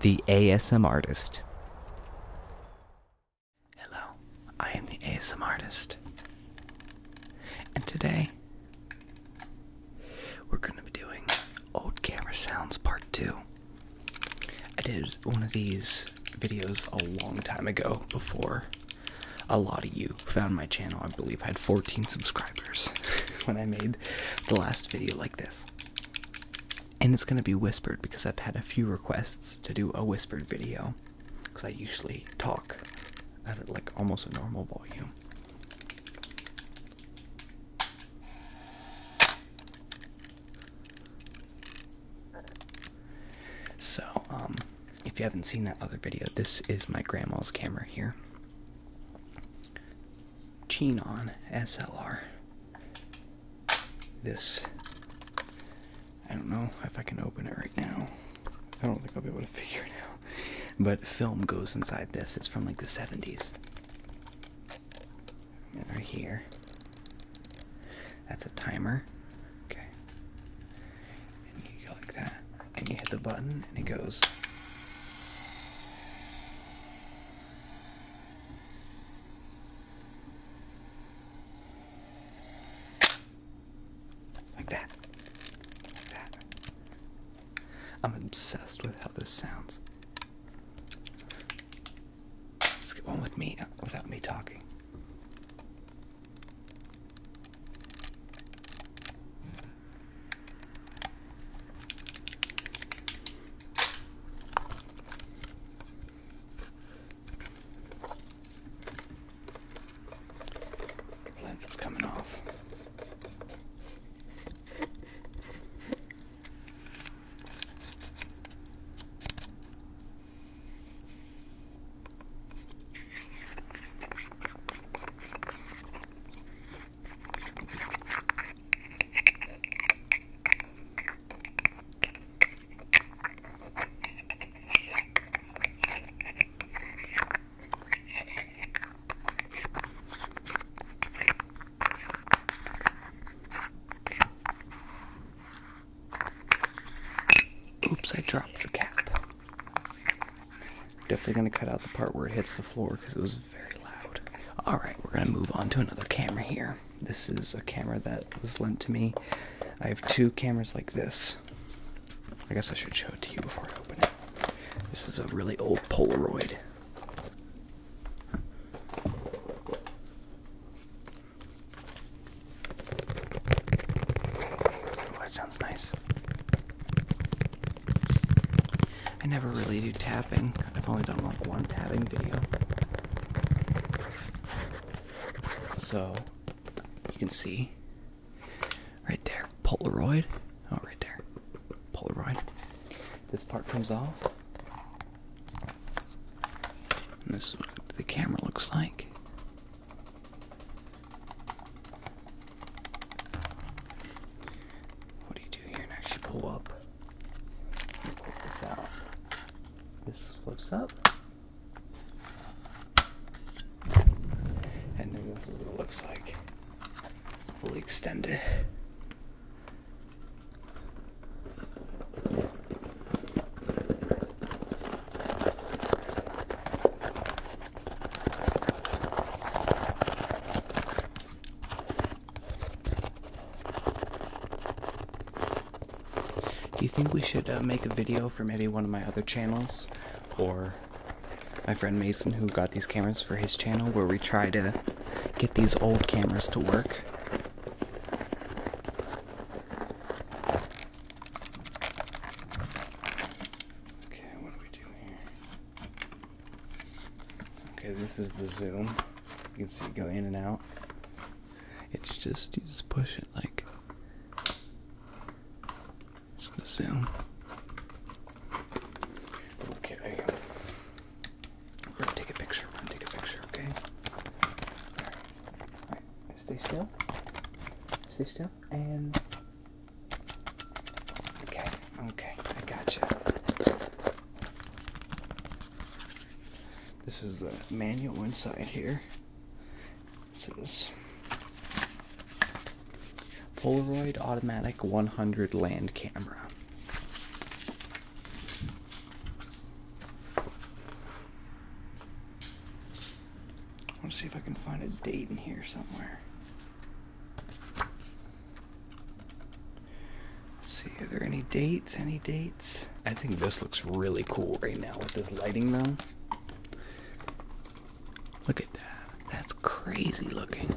The ASM Artist. Hello, I am the ASM Artist. And today, we're going to be doing Old Camera Sounds Part 2. I did one of these videos a long time ago before a lot of you found my channel. I believe I had 14 subscribers. when I made the last video like this. And it's gonna be whispered because I've had a few requests to do a whispered video. Because I usually talk at like almost a normal volume. So, um, if you haven't seen that other video, this is my grandma's camera here. Chinon SLR. This, I don't know if I can open it right now. I don't think I'll be able to figure it out. But film goes inside this. It's from like the 70s. And right here, that's a timer. Okay. you go like that and you hit the button and it goes. Like that. Like that. I'm obsessed with how this sounds. Let's get on with me uh, without me talking. Lens is coming off. Oops, I dropped your cap. Definitely gonna cut out the part where it hits the floor because it was very loud. Alright, we're gonna move on to another camera here. This is a camera that was lent to me. I have two cameras like this. I guess I should show it to you before I open it. This is a really old Polaroid. Oh, that sounds nice. I never really do tapping. I've only done like one tapping video. So you can see right there Polaroid. Oh, right there. Polaroid. This part comes off. And this is what the camera looks like. What do you do here and actually pull up? Pull this out. This flips up. And then this is what it looks like. Fully extended. Do you think we should uh, make a video for maybe one of my other channels or my friend Mason who got these cameras for his channel where we try to get these old cameras to work? Okay, what do we do here? Okay, this is the zoom. You can see it go in and out. It's just you just push it like it's the zoom. Okay. We're gonna take a picture, take a picture, okay? Alright. Stay still. Stay still. And Okay, okay, I gotcha. This is the manual inside here. It says Polaroid Automatic 100 Land Camera. I want to see if I can find a date in here somewhere. see, are there any dates? Any dates? I think this looks really cool right now with this lighting, though. Look at that. That's crazy looking.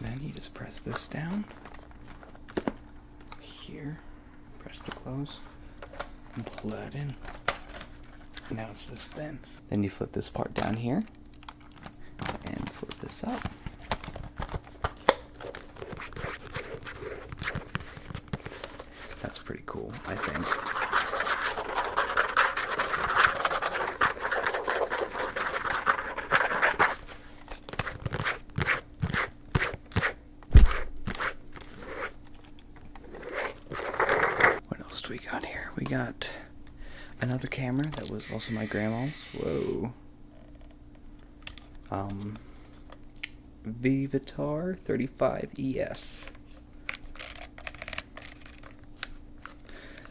Then you just press this down here, press to close, and pull that in. now it's this thin. Then you flip this part down here and flip this up. That's pretty cool, I think. What else do we got here? We got another camera that was also my grandma's. Whoa. Um, Vivitar 35ES.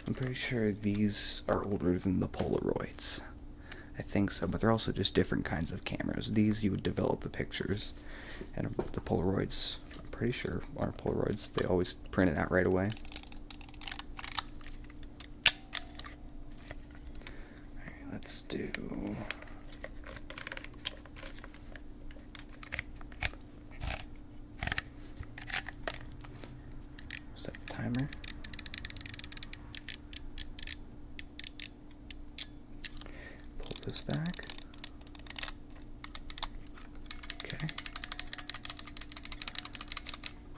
I'm pretty sure these are older than the Polaroids. I think so, but they're also just different kinds of cameras. These you would develop the pictures, and the Polaroids, I'm pretty sure, are Polaroids. They always print it out right away let's do. Set the timer. Pull this back. Okay.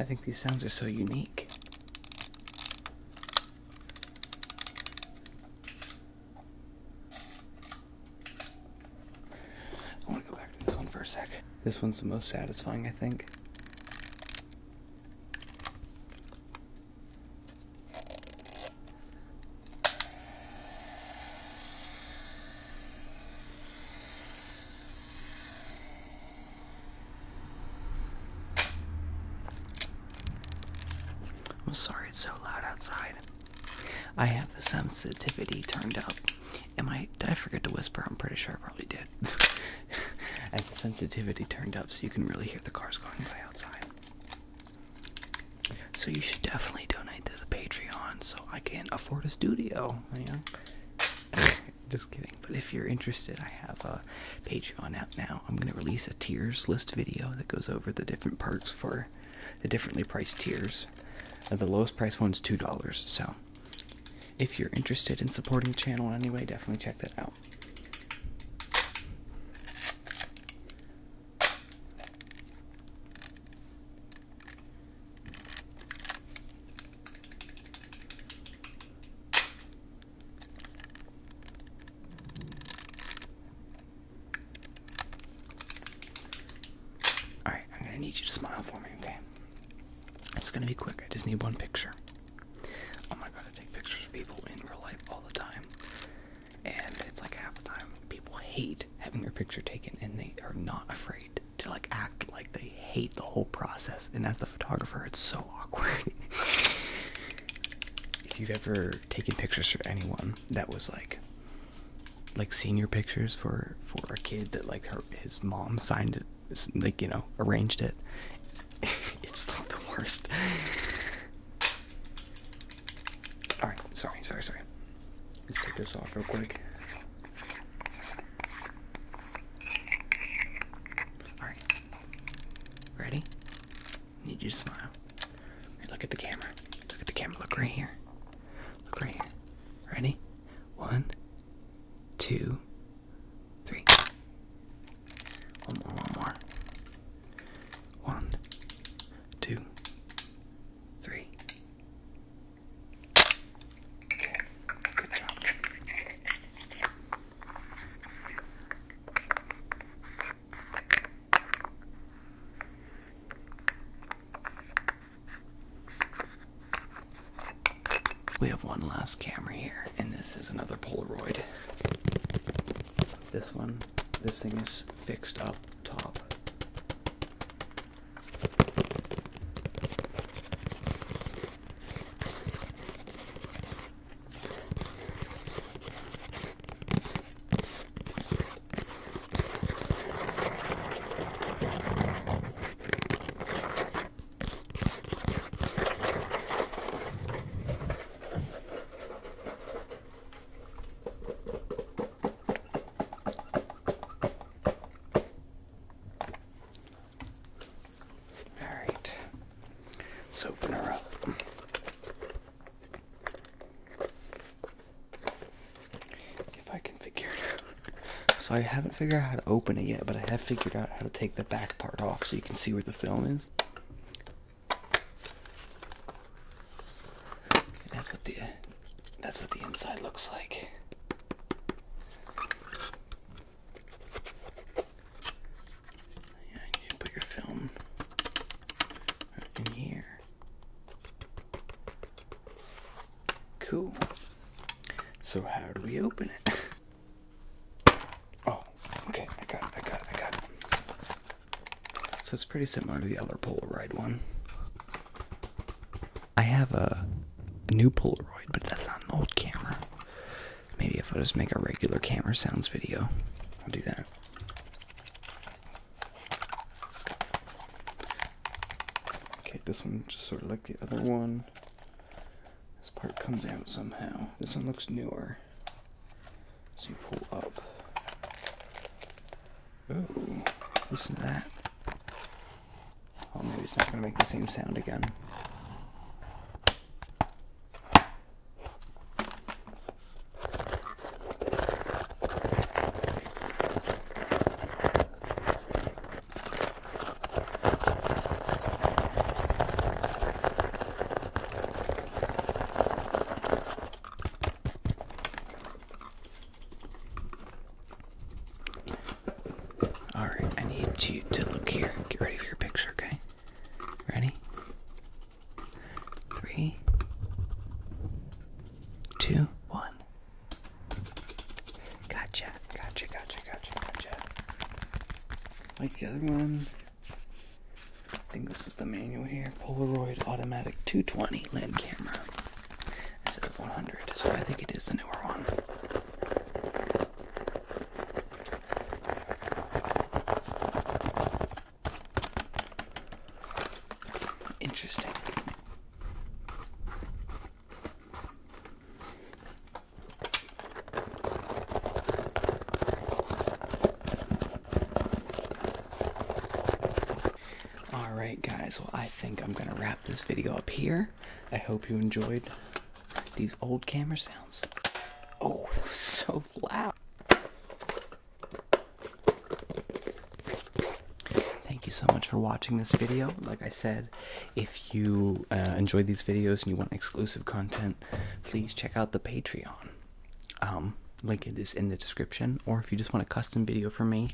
I think these sounds are so unique. I want to go back to this one for a sec. This one's the most satisfying, I think. I'm sorry it's so loud outside. I have the sensitivity turned up. Am I did I forget to whisper? I'm pretty sure I probably did. and sensitivity turned up so you can really hear the cars going by outside. So you should definitely donate to the Patreon so I can afford a studio, you Just kidding. But if you're interested, I have a Patreon out now. I'm gonna release a tiers list video that goes over the different perks for the differently priced tiers. Uh, the lowest price one is two dollars, so if you're interested in supporting the channel in any way, definitely check that out. All right, I'm gonna need you to smile for me, okay? It's gonna be quick. I just need one picture. Oh my god, I take pictures of people in real life all the time. And it's like half the time people hate having their picture taken and they are not afraid to like act like they hate the whole process. And as the photographer, it's so awkward. if you've ever taken pictures for anyone that was like like senior pictures for for a kid that like her his mom signed it like you know arranged it it's not the worst. Alright, sorry, sorry, sorry. Let's take this off real quick. Alright. Ready? need you to smile. look at the camera. Look at the camera. Look right here. Look right here. Ready? One, two, three. One more, one more. One, two, three. Okay, good job. Okay, we have one last camera here, and this is another Polaroid. This one, this thing is fixed up top. All right, let's open her up. If I can figure it out. So I haven't figured out how to open it yet, but I have figured out how to take the back part off so you can see where the film is. that's what the that's what the inside looks like. Yeah, you put your film in here. Cool. So how do we open it? Oh, okay, I got it, I got it, I got it. So it's pretty similar to the other Polaroid one. I have a, a new Polaroid, but that's not an old camera. Maybe if I just make a regular camera sounds video, I'll do that. Okay, this one just sort of like the other one. This part comes out somehow. This one looks newer. So you pull up. Oh, listen to that. Oh, maybe it's not going to make the same sound again. All right, I need you to look here. Get ready for your picture, okay? Ready? Three, two, one. Gotcha, gotcha, gotcha, gotcha, gotcha. Like the other one. I think this is the manual here. Polaroid automatic 220 lens camera instead of 100. So I think it is the newer one. Interesting. All right, guys. Well, I think I'm gonna wrap this video up here. I hope you enjoyed these old camera sounds. Oh, so loud. Thank you so much for watching this video. Like I said, if you uh, enjoy these videos and you want exclusive content, please check out the Patreon. Um, link is in the description. Or if you just want a custom video from me,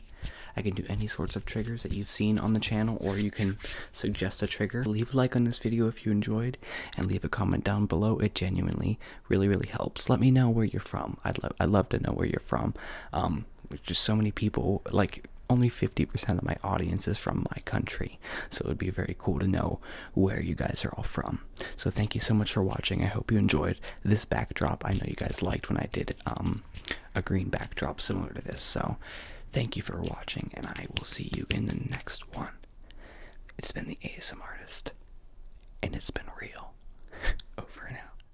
I can do any sorts of triggers that you've seen on the channel, or you can suggest a trigger. Leave a like on this video if you enjoyed, and leave a comment down below. It genuinely really, really helps. Let me know where you're from. I'd love, I'd love to know where you're from. Um, um, there's just so many people. Like only 50% of my audience is from my country, so it would be very cool to know where you guys are all from. So thank you so much for watching. I hope you enjoyed this backdrop. I know you guys liked when I did um, a green backdrop similar to this. So thank you for watching, and I will see you in the next one. It's been the ASM artist, and it's been real. Over and out.